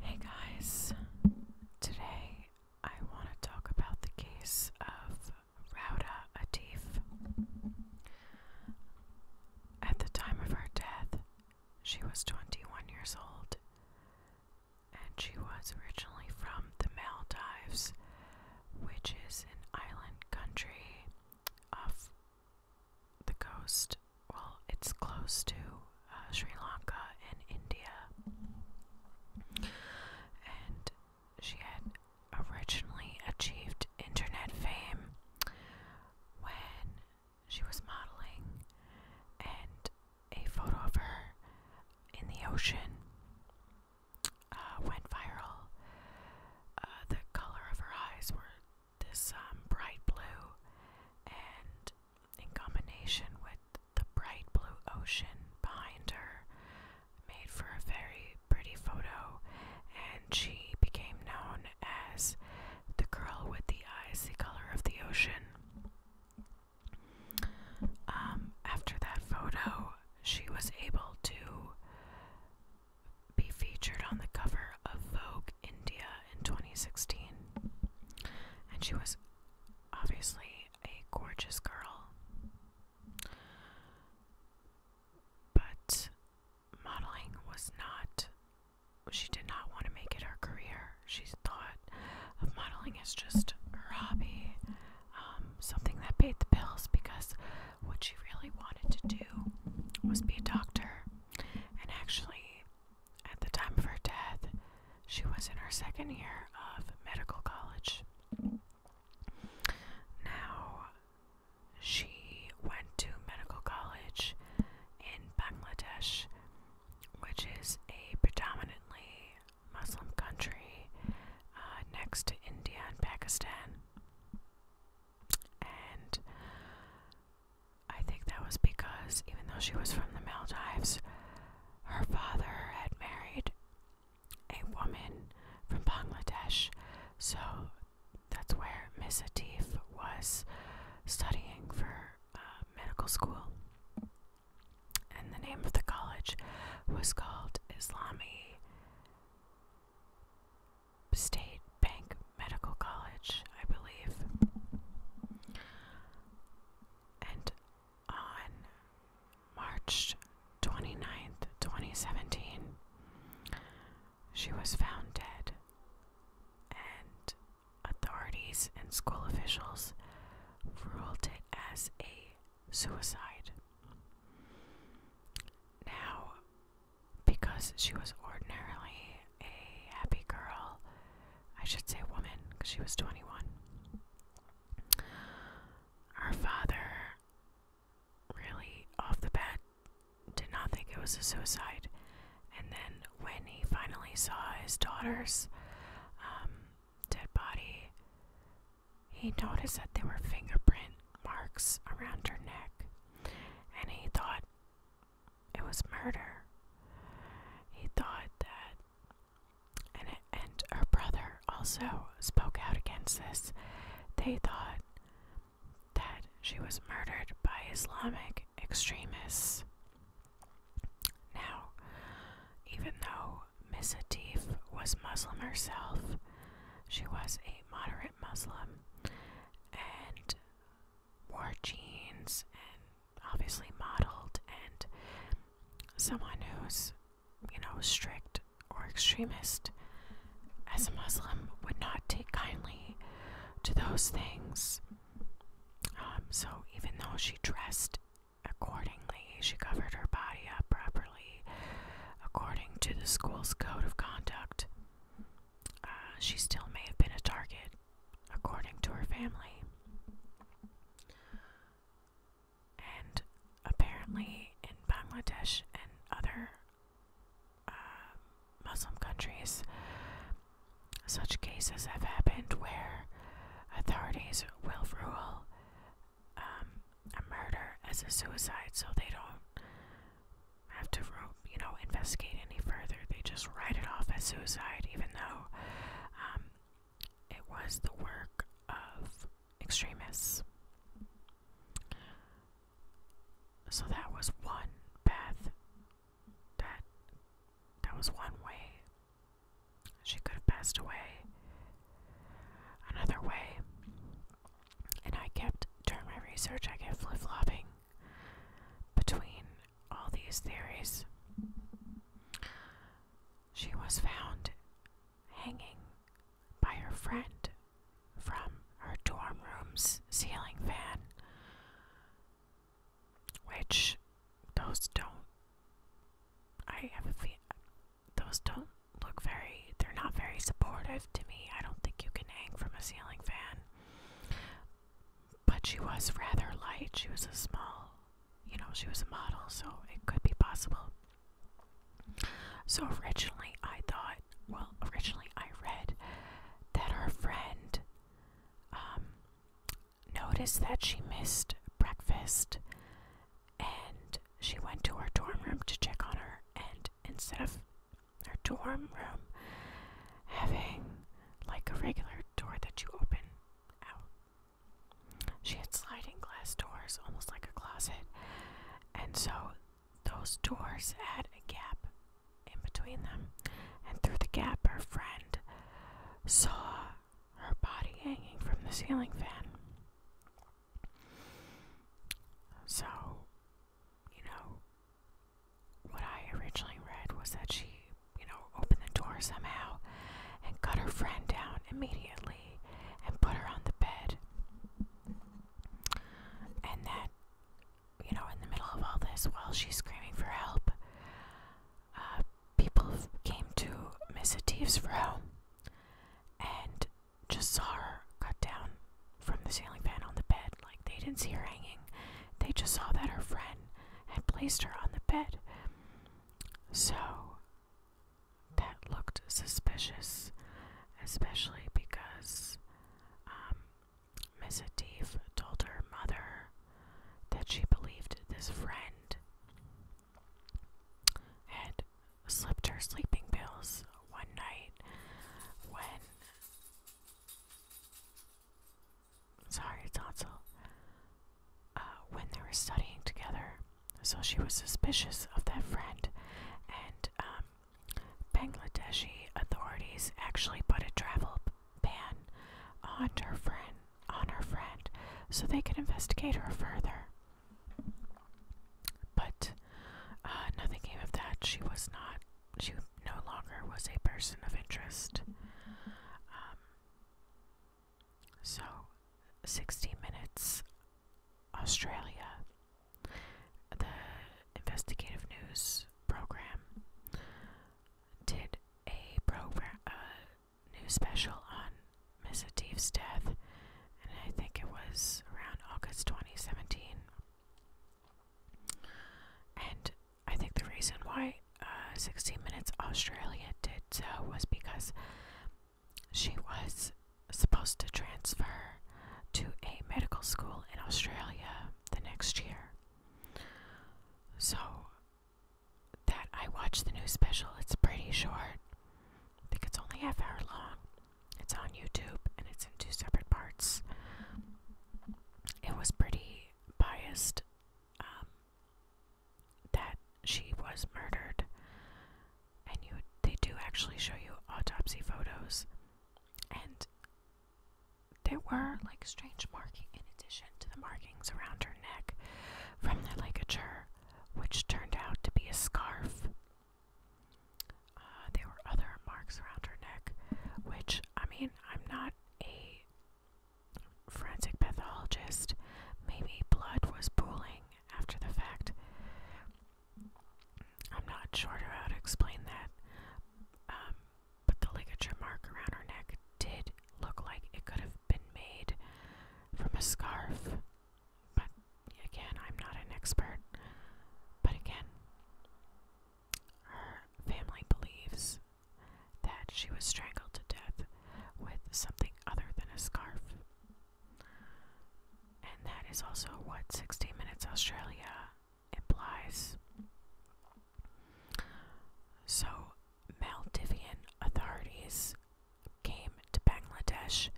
Hey guys, today I want to talk about the case of Rauda Atif. At the time of her death, she was 21 years old and she was originally from the Maldives, which is an island country of the coast. Well, it's close to uh, Sri Lanka and India. And she had originally achieved internet fame when she was modeling and a photo of her in the ocean uh, went viral. Uh, the color of her eyes were this um, bright blue, and in combination with the bright blue ocean behind her, made for a very pretty photo. And she became known as the girl with the eyes the color of the ocean. Um, after that photo, she was able to be featured on the cover of Vogue India in 2016. And she was obviously a gorgeous girl. But modeling was not, she did not want to make it her career. She thought of modeling as just her hobby, um, something that paid the bills because what she really wanted to do was be a doctor. And actually, at the time of her death, she was in her second year of medical college. Now, she went to medical college in Bangladesh, which is a predominantly Muslim country uh, next to India and Pakistan. And I think that was because, even though she was from the Maldives, her father had married a woman from Bangladesh, so that's where Miss Atif was studying for uh, medical school. And the name of the college was called Islami State Bank Medical College, I believe. And on March 29th, 2017, she was found dead, and authorities and school officials ruled it as a suicide. Now, because she was ordinarily a happy girl, I should say woman, because she was 21. Her father really, off the bat, did not think it was a suicide. And then, when he finally saw his daughter's um, dead body, he noticed that there were fingerprint marks around her neck. And he thought it was murder. He thought that. And, her brother also spoke out against this. They thought that she was murdered by Islamic extremists. Now, even though Miss Atif was Muslim herself, she was a moderate Muslim, and wore jeans and obviously modeled, and someone who's, you know, strict or extremist as a Muslim would not take kindly to those things. Um, so even though she dressed accordingly, she covered her body up properly according to the school's code of conduct. Uh, she still may have been a target, according to her family. And apparently, in Bangladesh and other uh, Muslim countries, such cases have happened where authorities will rule um, a murder as a suicide so they don't have to, you know, investigate any further. They just write it off as suicide, even though um, it was the work of extremists. So that was one path. That that was one way. She could have passed away. Another way. And I kept during my research. I kept flip flopping between all these theories. She was found hanging by her friend from her dorm room's ceiling fan, which those don't. I have a feeling those don't look very. They're not very supportive to me. I don't think you can hang from a ceiling fan. But she was rather light. She was a small, you know, she was a model, so it could be possible. So originally I thought, well, originally I read that her friend um, noticed that she missed breakfast and she went to her dorm room to check on her, and instead of her dorm room having like a regular door that you open out. She had sliding glass doors, almost like a closet, and so those doors had a gap in between them, and through the gap, her friend saw her body hanging from the ceiling fan. So, you know, what I originally read was that she, you know, opened the door somehow and cut her friend down immediately and put her on the bed. And that, you know, in the middle of all this, while she's screaming for help, uh, people came to Miss Atif's room and just saw her cut down from the ceiling fan on the bed. Like, they didn't see her hanging, they just saw that her friend had placed her on the bed. So, that looked suspicious, especially because um, Atif told her mother that she believed this friend had slipped her sleeping pills one night when Sorry, Tonsil. Uh, when they were studying together, so she was suspicious of that friend, and um, Bangladeshi authorities actually put a travel ban on her friend, on her friend, so they could investigate her further. But uh, nothing came of that. She was not she no longer was a person of interest. Um, so, 60 Minutes Australia, the investigative news program, did a program, new special on Miss Atif's death, and I think it was around August 2017. And I think the reason why uh, 16 Minutes Australia did so was because she was supposed to transfer to a medical school in Australia the next year. So that I watched the new special, it's pretty short. I think it's only half hour long. It's on YouTube and it's in two separate parts. It was pretty biased um, that she was murdered, and you they do actually show you autopsy photos, and there were like strange markings in addition to the markings around her neck from the ligature, which turned out to be a scarf. Uh, there were other marks around her neck, which, I mean, I'm not a forensic pathologist. Maybe blood was pooling after the fact. I'm not sure how to explain that. Um, but the ligature mark around her neck did look like it could have been made from a scarf. But again, I'm not an expert. But again, her family believes that she was strangled to death with something other than a scarf. And that is also what 60 Minutes Australia implies. So, Maldivian authorities came to Bangladesh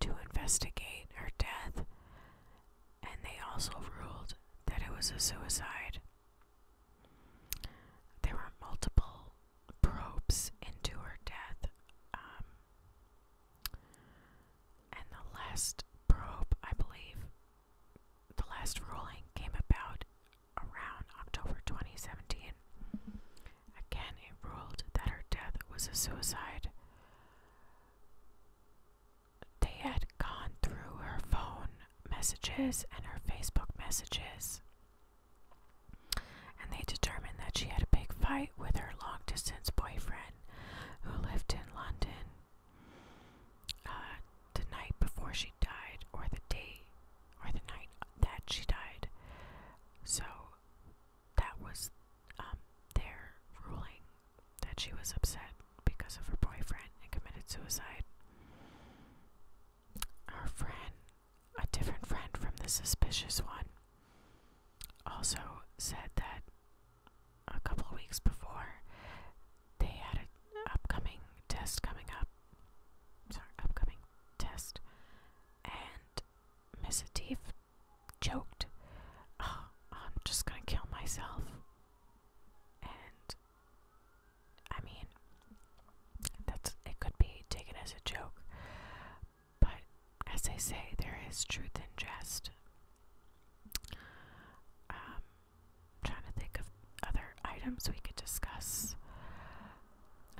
to investigate her death and they also ruled that it was a suicide. There were multiple probes into her death, um, and the last probe, I believe, the last ruling came about around October 2017. Again, it ruled that her death was a suicide. They had gone through her phone messages and her Facebook messages, and they determined that she had a big fight with her long distance boyfriend who lived in London uh, the night before she died, or the day, or the night that she died. So that was um, their ruling that she was upset because of her boyfriend and committed suicide. Our friend, a different friend from the suspicious one, also said that a couple of weeks before they had an upcoming test coming up. Sorry, upcoming test. And Miss Atif joked, uh, I'm just gonna kill myself. And I mean, that's it could be taken as a joke, but as they say, there is truth in jest. Um, trying to think of other items we could discuss.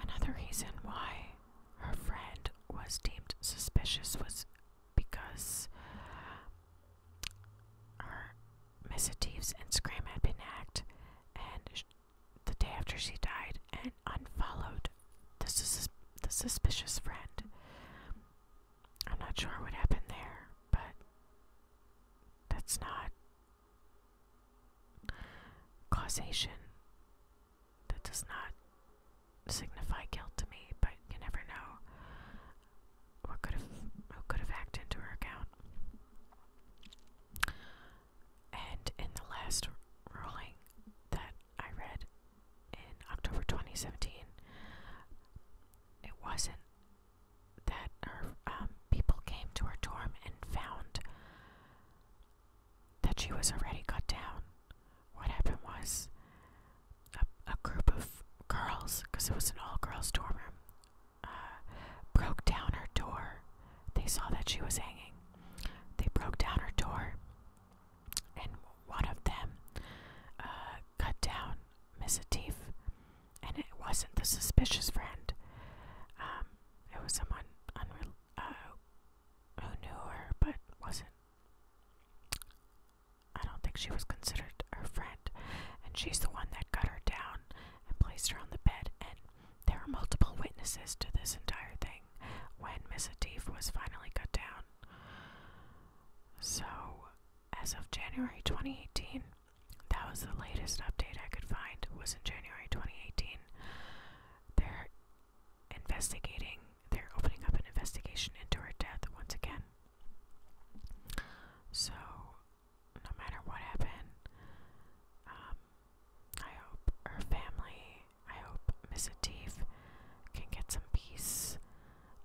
Another reason why her friend was deemed suspicious was because her missives and scream had been hacked, and the day after she died, and unfollowed the, sus the suspicious friend. I'm not sure what happened there, but that's not causation. That does not signify guilt to me, but you never know what could have who could have hacked into her account. And in the last ruling that I read in October 2017, it wasn't that her um, people came to her dorm and found that she was already cut down what happened was a, group of girls, because it was an all girls dorm room, uh, broke down her door. They saw that she was hanging. They broke down her door, and one of them uh, cut down Miss Atif, and it wasn't the suspicious friend. Um, it was someone uh, who knew her but wasn't I don't think she was considered her friend, and she's the one that cut her down and placed her on the bed. And there are multiple witnesses to this entire thing when Miss Atif was finally cut down. So, as of January 2018, that was the latest update I could find. Was in January 2018. They're investigating they're opening up an investigation into her death once again. So, no matter what happened, um, I hope her family, I hope Miss Atif can get some peace.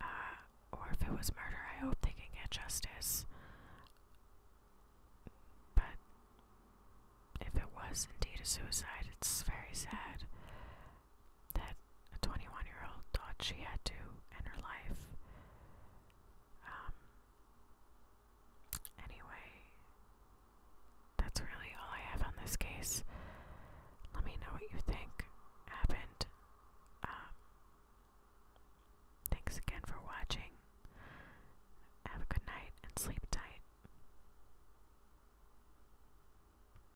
Uh, or if it was murder, I hope they can get justice. But if it was indeed a suicide, it's very sad that a 21 year old thought she had to in her life. Um, anyway, that's really all I have on this case. Let me know what you think happened. Um, thanks again for watching. Have a good night and sleep tight.